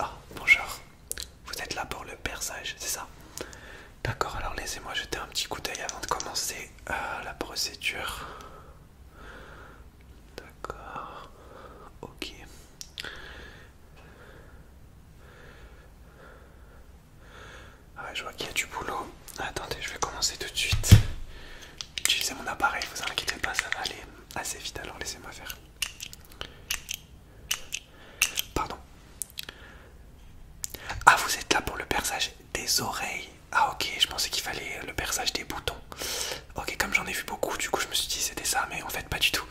Ah, bonjour. Vous êtes là pour le perçage, c'est ça D'accord, alors laissez-moi jeter un petit coup d'œil avant de commencer euh, la procédure. D'accord. Ok. Ah, je vois qu'il y a du boulot. Attendez, je vais commencer tout de suite. Utilisez mon appareil, vous inquiétez pas, ça va aller assez vite, alors laissez-moi faire. Pardon. Ah, vous êtes là pour le perçage des oreilles. Ah, ok, je pensais qu'il fallait le perçage des boutons. Ok, comme j'en ai vu beaucoup, du coup, je me suis dit c'était ça, mais en fait, pas du tout.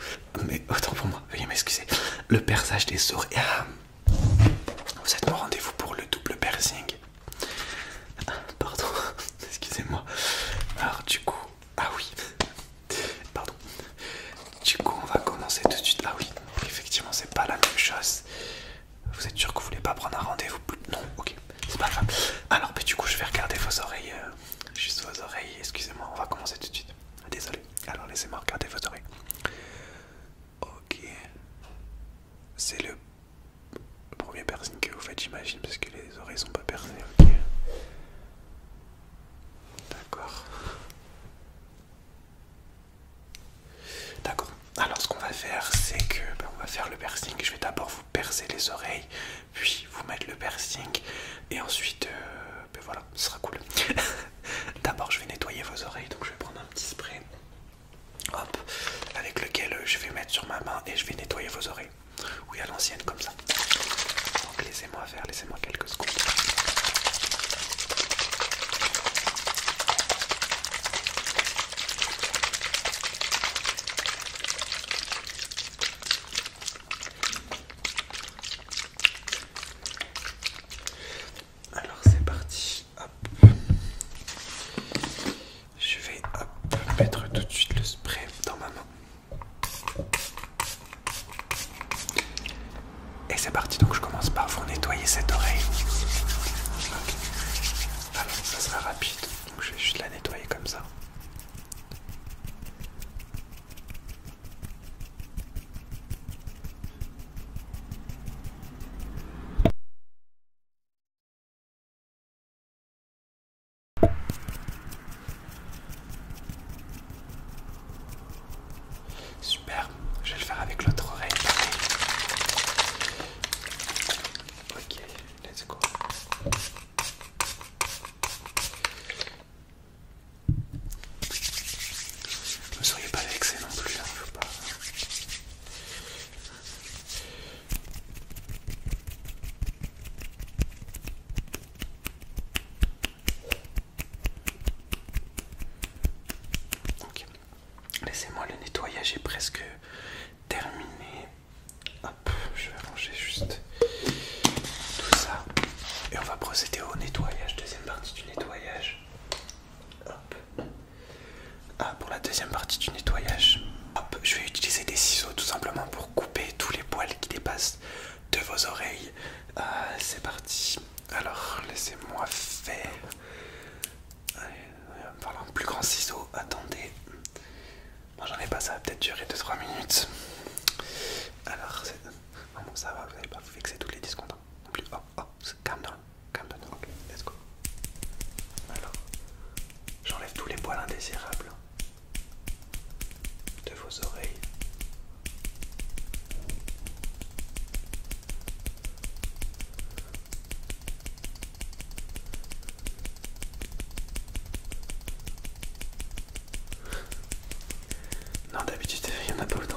Mais autant pour moi, veuillez m'excuser. Le perçage des oreilles. Ah, vous êtes au rendez-vous pour le double piercing. Ah, pardon, excusez-moi. Alors, du coup, ah oui, pardon. Du coup, on va commencer tout de suite. Ah oui, effectivement, c'est pas la même chose. Vous êtes sûr que vous voulez pas prendre un rendez-vous Non, ok, c'est pas grave. Alors, mais du coup, je vais regarder vos oreilles, euh, juste vos oreilles. Excusez-moi, on va commencer tout de suite. Désolé. Alors, laissez-moi regarder vos oreilles. Ok, c'est le premier piercing que vous faites, j'imagine, parce que les oreilles sont pas percées, D'accord. D'accord. Alors ce qu'on va faire, c'est que ben, on va faire le piercing. Je vais d'abord vous percer les oreilles, puis vous mettre le piercing, et ensuite, euh, ben voilà, ce sera cool. d'abord, je vais nettoyer vos oreilles, donc je vais prendre un petit spray, hop, avec lequel euh, je vais mettre sur ma main et je vais nettoyer vos oreilles. Oui, à l'ancienne, comme ça. Donc laissez-moi faire, laissez-moi quelques secondes. Alors c'est parti, hop. Je vais mettre tout de suite le spray dans ma main. Et c'est parti, donc je commence par vous nettoyer cette oreille. Alors ça sera rapide, donc je vais juste la nettoyer comme ça. Super, je vais le faire avec l'autre oreille pareil. Ok, let's go. Ne soyez pas vexé non plus, ne hein, faut pas. Laissez-moi le nettoyage est presque terminé. Hop, je vais ranger juste tout ça. Et on va procéder au nettoyage, deuxième partie du nettoyage. Hop. Ah, pour la deuxième partie du nettoyage, hop, je vais utiliser des ciseaux tout simplement pour couper tous les poils qui dépassent de vos oreilles. Ah, c'est parti. Alors, laissez-moi faire. Allez, en un plus grand ciseau, attendez. moi j'en ai pas, ça va peut-être durer 2-3 minutes. Alors, ça va, vous n'allez pas vous fixer tous les disques oh, de oh, calm down, calm down, ok, let's go. Alors, j'enlève tous les poils indésirables de vos oreilles. Non d'habitude il n'y en a pas autant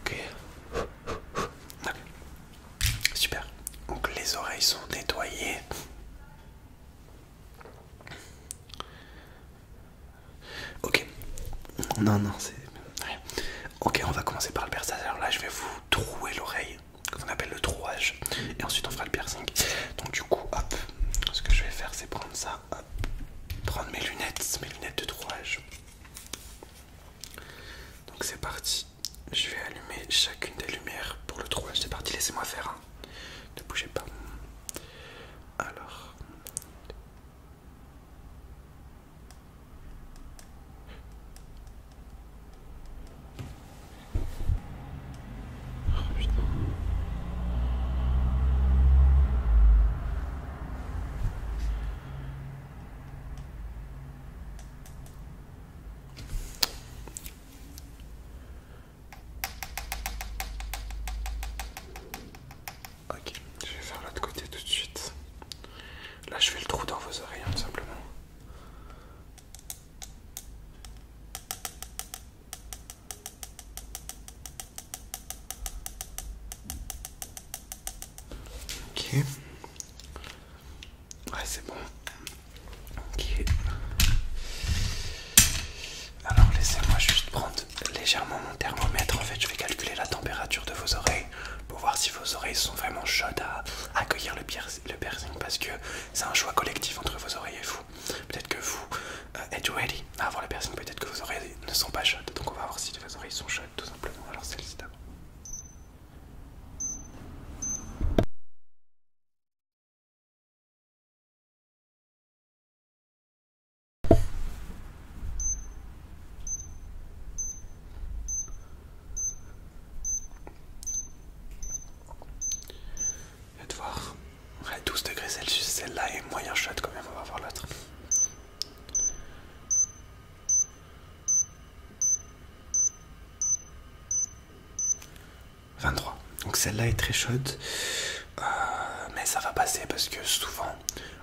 Ok. Super. Donc les oreilles sont nettoyées. Ok. Non, non, c'est... Ok, on va commencer par le perçage. Alors là, je vais vous trouer l'oreille, qu'on appelle le trouage. Et ensuite, on fera le piercing. Donc du coup, hop, ce que je vais faire, c'est prendre ça prendre mes lunettes, mes lunettes de trouage. Donc c'est parti, je vais allumer chacune des lumières pour le trouage. C'est parti, laissez-moi faire. Hein. Ne bougez pas. Alors. Oh, ok, je vais faire l'autre côté tout de suite. Là, je fais le trou dans vos oreilles, hein, tout simplement. Ok. Ouais, c'est bon. Ok. Alors laissez-moi juste prendre légèrement mon thermomètre. En fait, je vais calculer la température de vos oreilles pour voir si vos oreilles sont vraiment chaudes à accueillir le piercing parce que c'est un choix collectif entre vos oreilles et vous. Peut-être que vous euh, êtes ready avant la personne, peut-être que vos oreilles ne sont pas chaudes. Donc on va voir si vos oreilles sont chaudes tout simplement. Alors celle-ci d'abord. Va te voir. à 12 degrés Celsius, celle-là est moyen chaude quand même, on va voir l'autre. « 23. Donc celle-là est très chaude, euh, mais ça va passer parce que souvent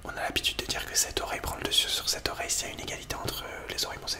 on a l'habitude de dire que cette oreille prend le dessus sur cette oreille s'il y a une égalité entre les oreilles. Bon, ça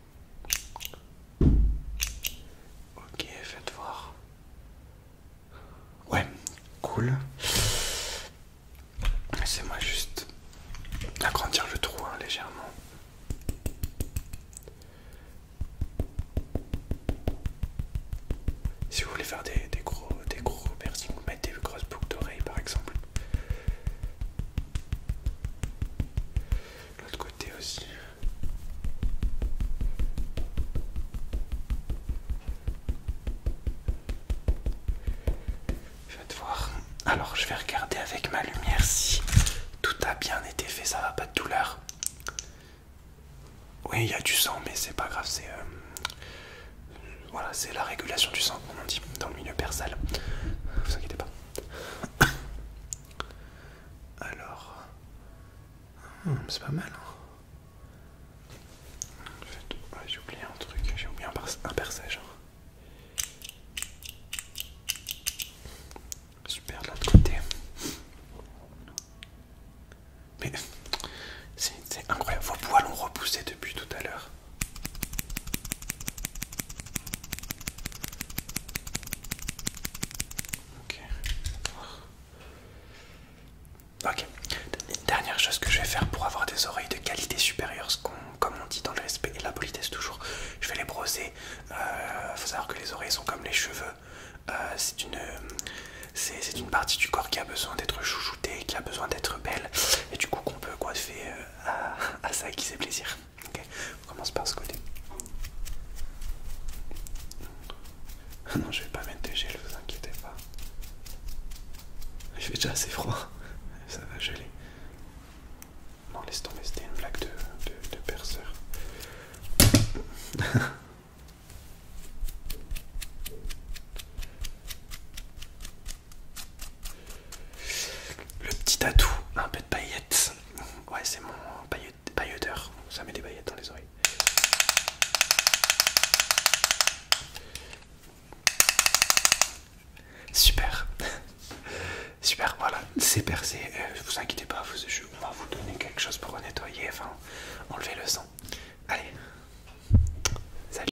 Ok, faites voir. Ouais, cool. laissez moi juste agrandir le trou hein, légèrement. Si vous voulez faire des, gros des gros piercings, mettez des grosses boucles d'oreilles par exemple l'autre côté aussi. Je voir. Alors, je vais regarder avec ma lumière si tout a bien été fait, ça va pas de douleur. Oui, il y a du sang, mais c'est pas grave, c'est. Euh, voilà, c'est la régulation du sang, on dit, dans le milieu persal. Vous inquiétez pas. Alors, hmm, c'est pas mal. Hein. j'ai oublié un truc, j'ai oublié un, percège hein. Super de l'autre côté. Mais c'est incroyable, vos poils ont repoussé depuis tout à l'heure. Ok. Ok. dernière chose que je vais faire pour avoir des oreilles de qualité supérieure, comme on dit dans le respect et la politesse toujours, je vais les broser. Euh, faut savoir que les oreilles sont comme les cheveux. Euh, c'est une, une partie du corps qui a besoin d'être chouchoutée, qui a besoin d'être belle, et du coup qu'on peut coiffer euh, à, ça qui fait plaisir. Ok, On commence par ce côté. Non, je vais pas mettre de gel, vous inquiétez pas. Il fait déjà assez froid, ça va geler. Non, laisse tomber, c'était une blague de perceur. Le petit atout, un peu de paillettes. Ouais, c'est mon pailleteur. Ça met des paillettes dans les oreilles. Super. Super, voilà, c'est percé. Euh, vous inquiétez pas, vous, on va vous donner quelque chose pour nettoyer, enfin, enlever le sang. Allez, salut.